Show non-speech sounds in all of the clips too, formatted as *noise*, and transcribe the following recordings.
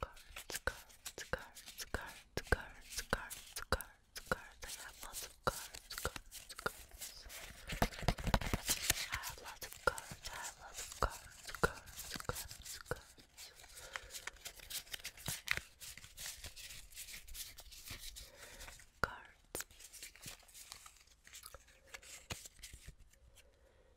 Cards, cards, cards, cards, cards, cards, cards, cards. I have lots of cards, I have lots of cards, cards, cards, cards. Cards.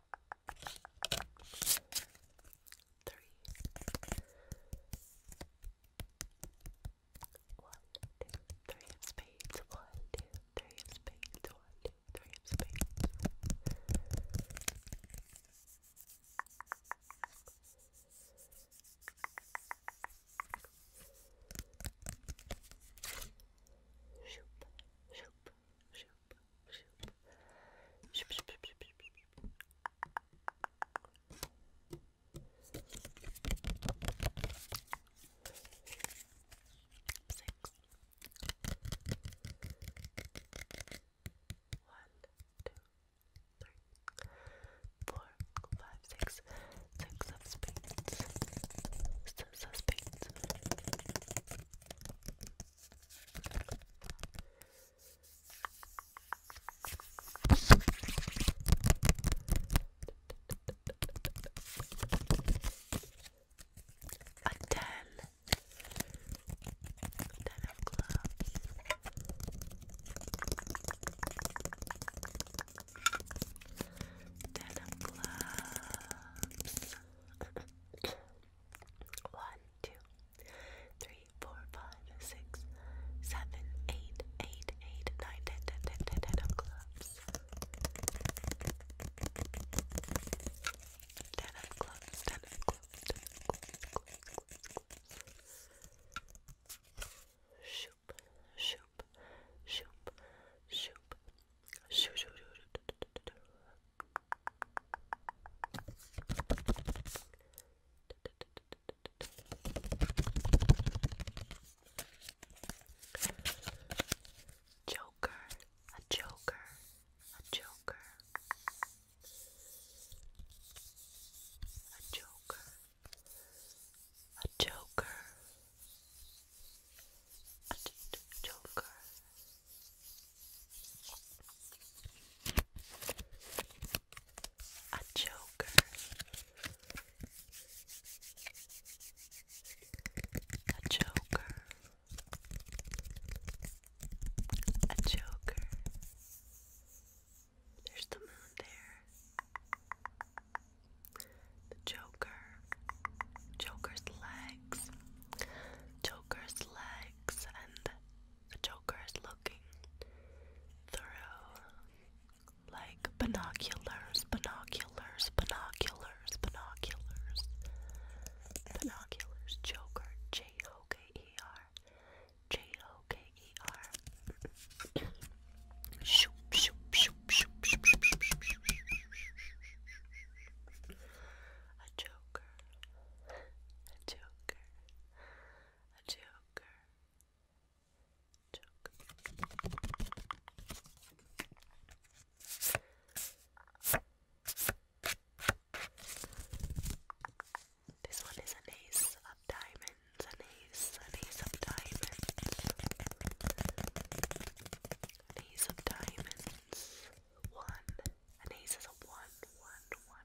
three, one, two, three of spades, one, two, three of spades, one, two, three of spades. Shoop, shoop, shoop of spades. Six of spades. Six of spades. A ten. A ten of clubs. Ten of clubs. One, two, three, four, five, six, seven, eight, eight, eight, nine, ten, ten, ten, ten, ten of clubs. Ten of clubs, ten of clubs, ten of clubs, clubs, clubs, clubs. Shoop, shoop, shoop, shoop. shoo, shoo, shoo, shoo, shoo, shoo, Joker, a joker, a joker, a joker, a joker, a joker, joker, a joker. A joker. A joker. There's the moon there. The joker. Joker's legs. Joker's legs and the Joker is looking through like binoculars, binoculars, binoculars, binoculars, binoculars. Joker, J O K E R, J O K E R. Shoop, shoop, shoop, shoop, shoop, shoop, shoop, shoop, shoop, a joker, a joker, a joker. Joke. This one is an ace of diamonds, an ace, an ace of diamonds, an ace of diamonds, one, an ace is a one, one, one, one.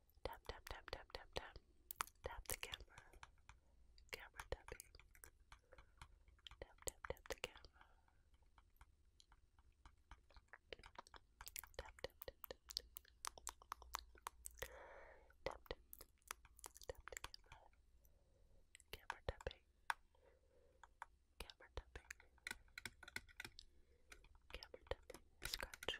Tap, tap, tap, tap, tap, tap. Tap the camera. Camera tapping. Tap, tap, tap the camera. Tap, tap, tap, tap, tap. Tap, tap, tap the camera. Camera tapping. Camera tapping. Camera tapping. Scratch.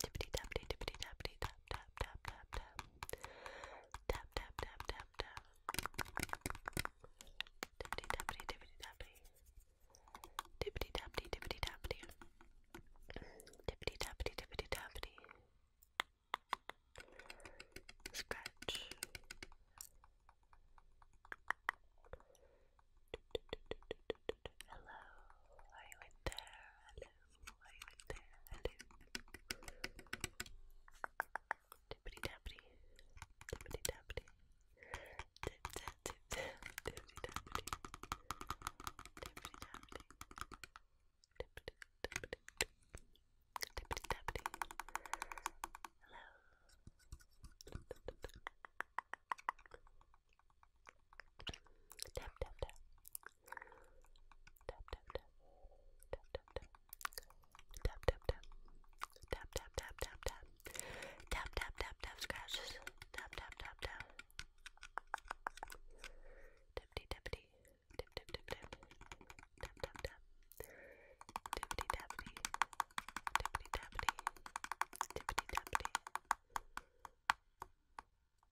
Tippity tappity tippity tappity tap tap tap tap tap tap tap tap tap tap tippity tappity tippity tappity tippity tappity tippity tappity tippity tappity tippity tappity scratch hello are you in there hello Tippity tappity, tippity tappity, tip tap tip tap, tippity tappity, tippity tappity, tippity tappity, tippity tappity. Hello. Tap tap tap, Tap tap tap. Tap tap tap. Tap tap tap. Tap tap tap tap tap. Tap tap tap tap scratches. Tap tap tap tap. Tippity tippity. Tip tip tip tip. Tap tap tap. Tippity tappity. Tippity tappity. Tippity tappity.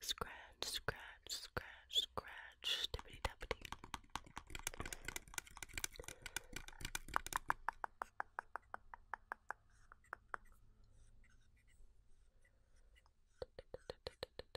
Scratch, scratch, scratch, scratch, dippity tappity.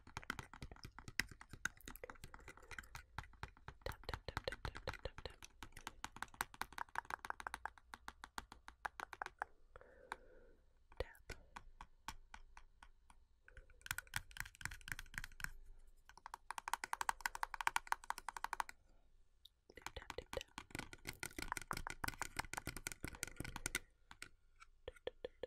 Tap, tap, tap, tap, tap, tap, tap, tap. Tap. Tip tap tip tap. Tip, tip, tip.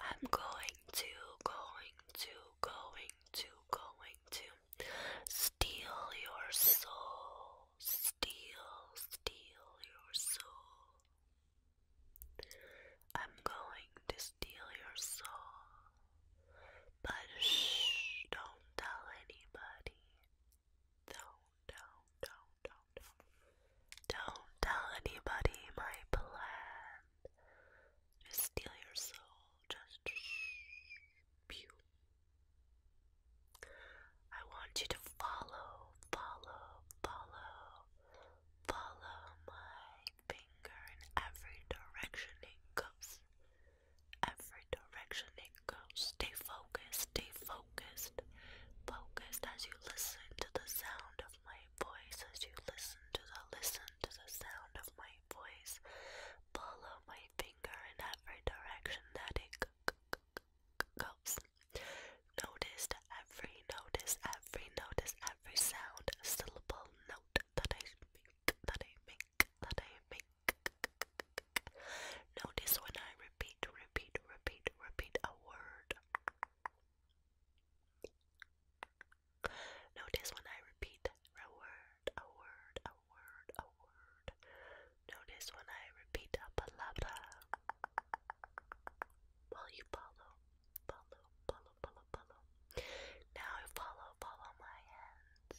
I'm going to, going to, going to, going to steal your soul, steal, steal your soul. I'm going to steal your soul. But shh, don't tell anybody. Don't, don't, don't, don't, don't. tell anybody my plan. Just steal your soul. Just shh. Pew. I want you to follow, follow, follow, follow my finger in every direction it goes every direction it goes. Stay focused, stay focused, focused as you listen to the sound of my voice, as you listen to the listen to the sound of my voice. Follow my finger in every direction that it goes. Notice every notice, every notice, every sound, syllable, note that I make, that I make, that I make. Notice when I repeat, repeat, repeat, repeat a word. Notice when I repeat a word, a word, a word, a word. Notice when I repeat a palabra. While you follow, follow, follow, follow, follow. Now follow, follow my hands.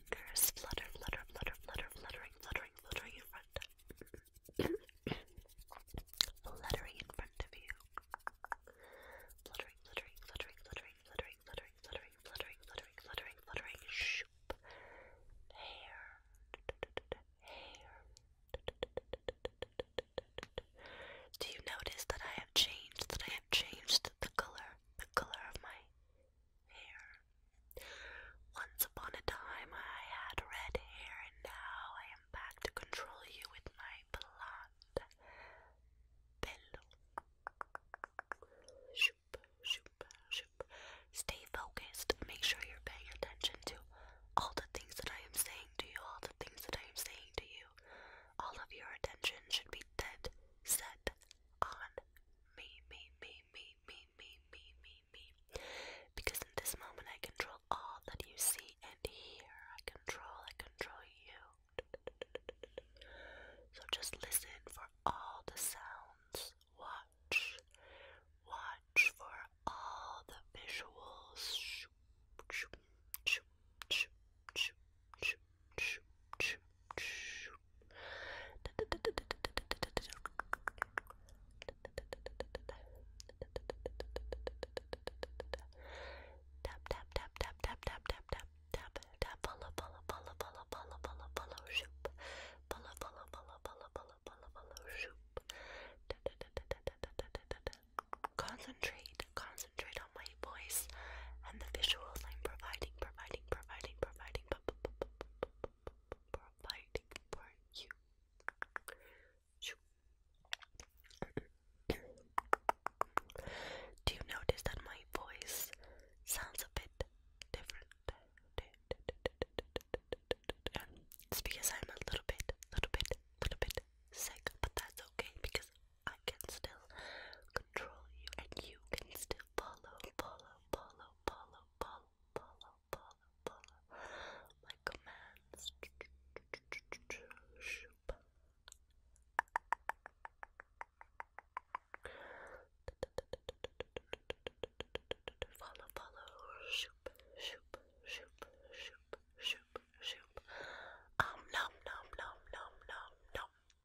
fingers flutter, flutter, flutter, flutter, fluttering, fluttering, fluttering in front fluttering in front of you. Fluttering, fluttering, fluttering, fluttering, fluttering, fluttering, fluttering, fluttering, fluttering, fluttering, fluttering, shoop. Hair, hair. Do you notice that I have changed? That I have changed the color, the color of my hair. Once upon a time I had red hair, and now I am back to control you with my blonde pillow. Shoop, shoop, shoop. Stay focused. Make sure you're paying attention to all the things that I am saying to you, all the things that I am saying to you. All of your attention should be dead set on me, me, me, me, me, me, me, me, me. Because in this moment I control all that you see and hear. I control, I control you. So just listen for all the sounds. Watch. Watch for all the visuals. Tap tap tap tap tap tap tap tap tap tap follow follow follow follow follow follow follow shoop follow follow follow follow follow follow follow shoop Concentrate, concentrate on my voice and the visuals I'm providing, providing, providing, providing providing for you. Do you notice that my voice sounds a bit different? it's because I'm a little bit, little bit, little bit sick, but that's okay because I can still control you and you can still follow, follow, follow, follow, follow, follow, follow, follow my commands. Follow, follow, shoop, shoop, shoop, shoop, shoop, shoop. Um, nom, nom, nom, nom, nom, nom.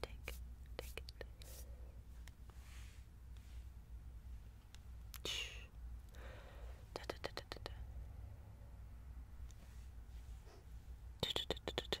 Take it, take it. Da da da da da da. Da da da da da.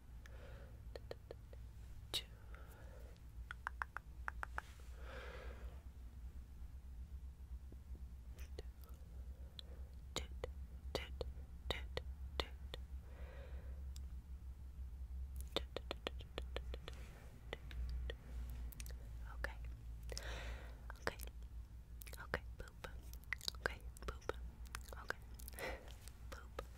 two, toot, Okay. Okay. Okay, Okay, Okay. Boop. Okay,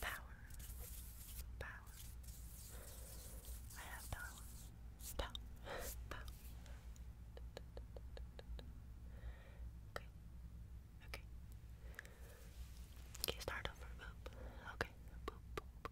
Power. Power. I have power. Power. Power. Okay. Okay. Okay, start over. Boop. Okay. Boop, boop, boop,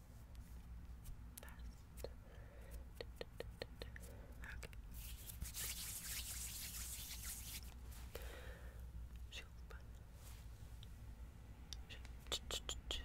Fast. Okay. Shoop. Shoop. Just tick, tick, tick, tick,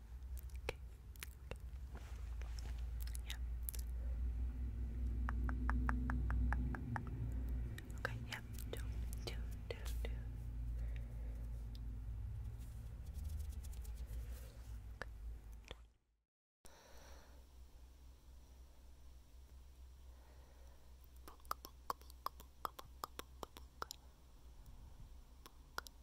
Okay. Yeah. Okay, yeah. Do, do, do, do. Okay. Book,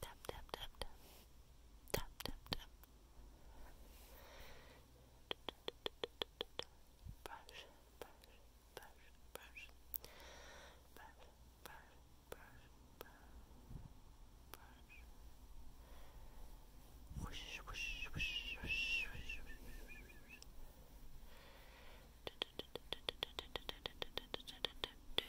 tap tap tap tap tap tap tap brush brush brush brush brush brush brush brush whoosh whoosh whoosh whoosh whoosh whoosh do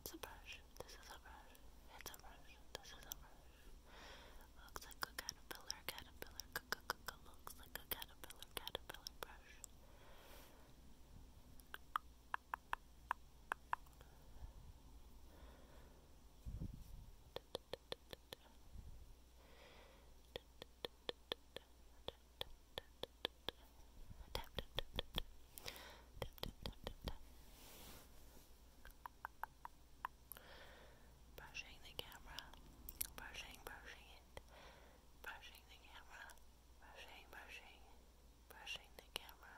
it's a brush. This is a brush. It's a brush. This is a brush. Looks like a caterpillar, caterpillar, looks like a caterpillar, caterpillar brush. *laughs* *laughs* tap tap brushing the camera brushing brushing it brushing the camera brushing brushing brushing the camera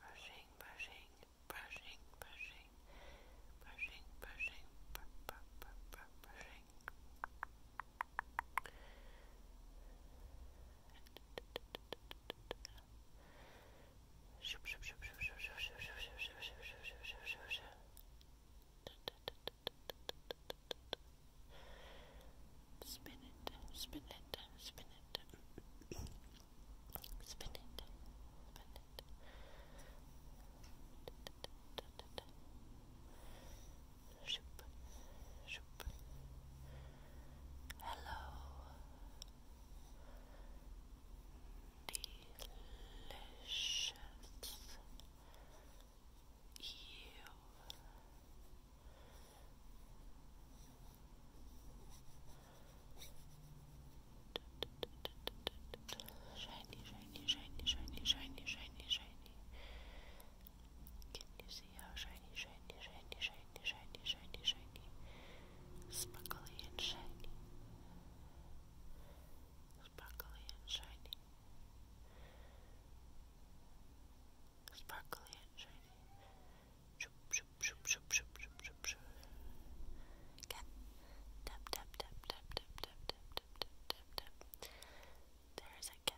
brushing, brushing, brushing, brushing, brushing, brushing, brushing, brushing, brushing, brushing, Spin it, spin it, spin it. spin it, spin it. Spin it shoop, shoop. Hello, delicious you. Shiny, shiny, shiny, shiny, shiny, shiny, shiny. Can you see how shiny, shiny, shiny, shiny, shiny, shiny, shiny, sparkly and shiny, sparkly and shiny, sparkly and shiny? Shoop, shoop, shoop, shoop, shoop, shoop, shoop, shoop. Cat, tap, tap, tap, tap, tap, tap, tap, tap, tap, tap, tap. There is a cat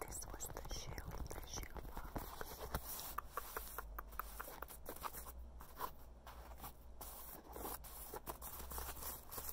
This was the shoe, the shoe box.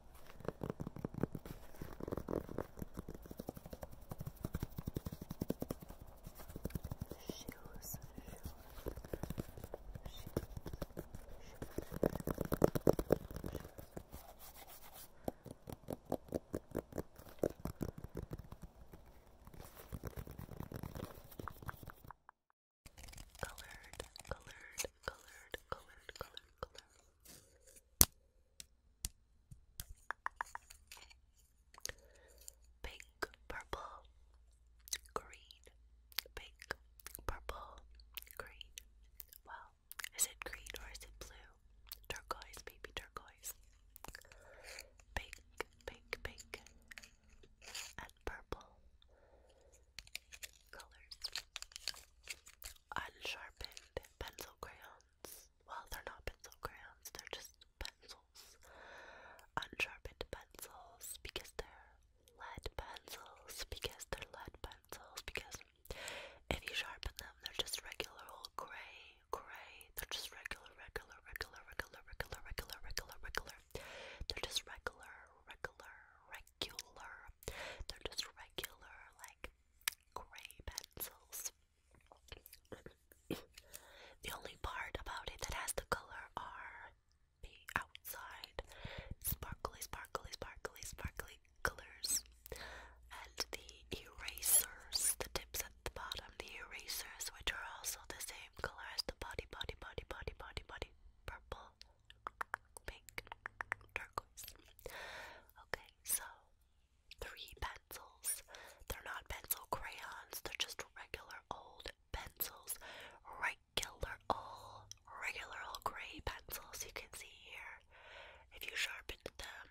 shoes, Colored, colored, colored, colored, colored, colored. Pink, purple, green, pink, purple, green. Well, is it green or is it blue? Turquoise, baby turquoise. Pink, pink, pink, and purple colors unsharpened pencil crayons. Well, they're not pencil crayons, they're just pencils. Unsharpened pencils because they're lead pencils, because they're lead pencils, because if you sharpen them, they're just regular old gray, gray. They're just regular, regular, regular, regular, regular, regular, regular, regular. They're just regular, regular, regular they're just regular, like, gray pencils. the only part about it that has the color are the outside sparkly, sparkly, sparkly, sparkly colors and the erasers, the tips at the bottom, the erasers, which are also the same color as the body, body, body, body, body, body, purple pink, turquoise. Okay, so three pencils. They're not pencil crayons, they're just regular old pencils. Regular old, regular old gray pencils you can see here. If you sharpen them,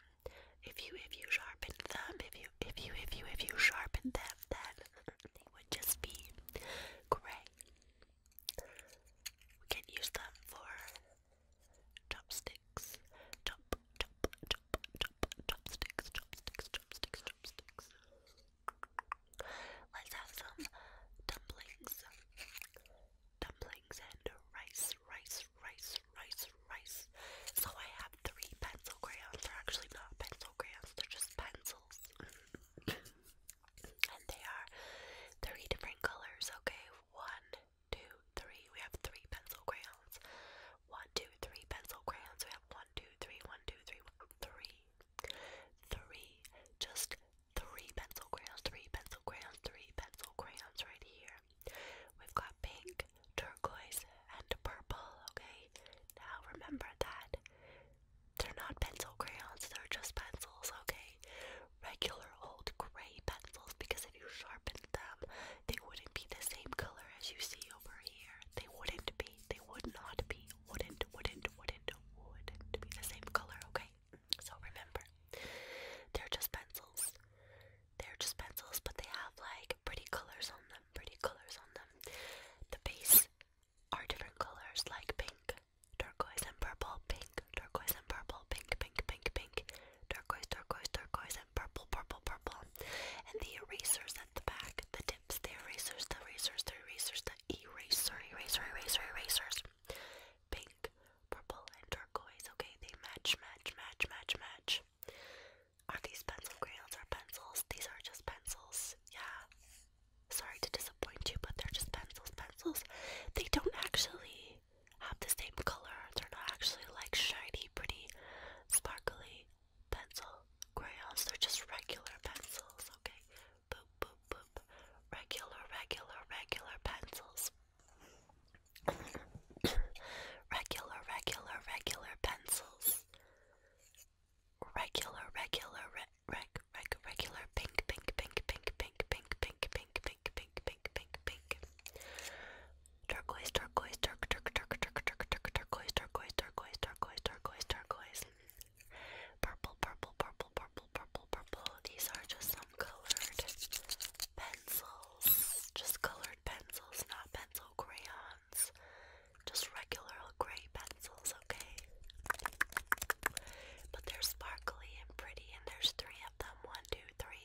if you if you sharpen them, if you if you if you if you sharpen them then they would just be gray. We can use them for chopsticks. Chop, chop, chop, chop, chopsticks, chopsticks, chopsticks, chopsticks. Let's have some dumplings. Dumplings and rice, rice, rice, rice, rice. So I have three pencil crayons. They're actually not pencil crayons, they're just pencils. *laughs* and they are three different colors, okay? One, two, three. We have three pencil crayons. One, two, three pencil crayons. We have one, two, three, one, two, three, one, three, three. Just three pencil crayons. Three pencil crayons. Three pencil crayons right here. We've got pink, turquoise, and purple. Okay. Now remember that they're not pencil crayons. They're just pencils. Okay regular old grey pencils because if you sharpened them, they wouldn't be the same color as you see over here. They wouldn't be. They would not be. Wouldn't, wouldn't, wouldn't, wouldn't be the same color, okay? So remember, they're just pencils. They're just pencils, but they have like pretty colors on them, pretty colors on them. The base are different colors like pink, turquoise, and purple, pink, turquoise, and purple, pink, pink, pink, pink turquoise, turquoise, turquoise, and purple, purple, purple. And the erasers at the back, the tips, the erasers, the erasers, the erasers, the eraser, eraser, eraser, erasers. Pink, purple, and turquoise. Okay, they match, match, match, match, match. Are these pencil crayons or pencils? These are just pencils. Yeah. Sorry to disappoint you, but they're just pencils, pencils. They don't actually have the same color. They're not actually like shiny, pretty, sparkly pencil crayons. They're just regular pencils, okay? Boop, boop, boop. Regular, regular, regular pencils. *coughs* regular, regular, regular pencils. Regular, regular, re reg, reg, regular pink, pink, pink, pink, pink, pink, pink, pink, pink, pink, pink, pink, pink, pink. Turquoise, turquoise, turk, turk, turk, turk, turk, turk, turquoise, turquoise, turquoise, turquoise, turquoise, turquoise. Purple, purple, purple, purple, purple, purple. These are just some colored pencils. Just colored pencils, not pencil crayons. Just regular gray pencils, okay? But they're sparkly and pretty, and there's three of them. One, two, three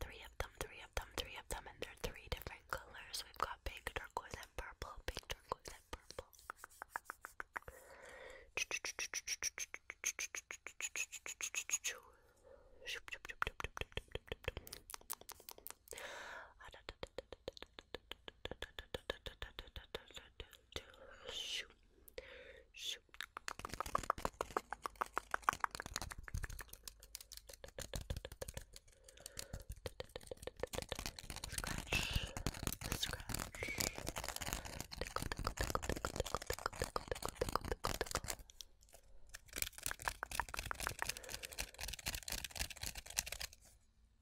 three. of them, three of them, three of them, and they're three different colors. We've got pink, turquoise, and purple. Pink, turquoise, and purple. Scratch, scratch.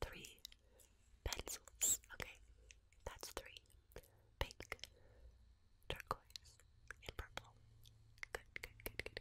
Three pencils. Okay, that's three pink, turquoise, and purple. Good, good, good, good,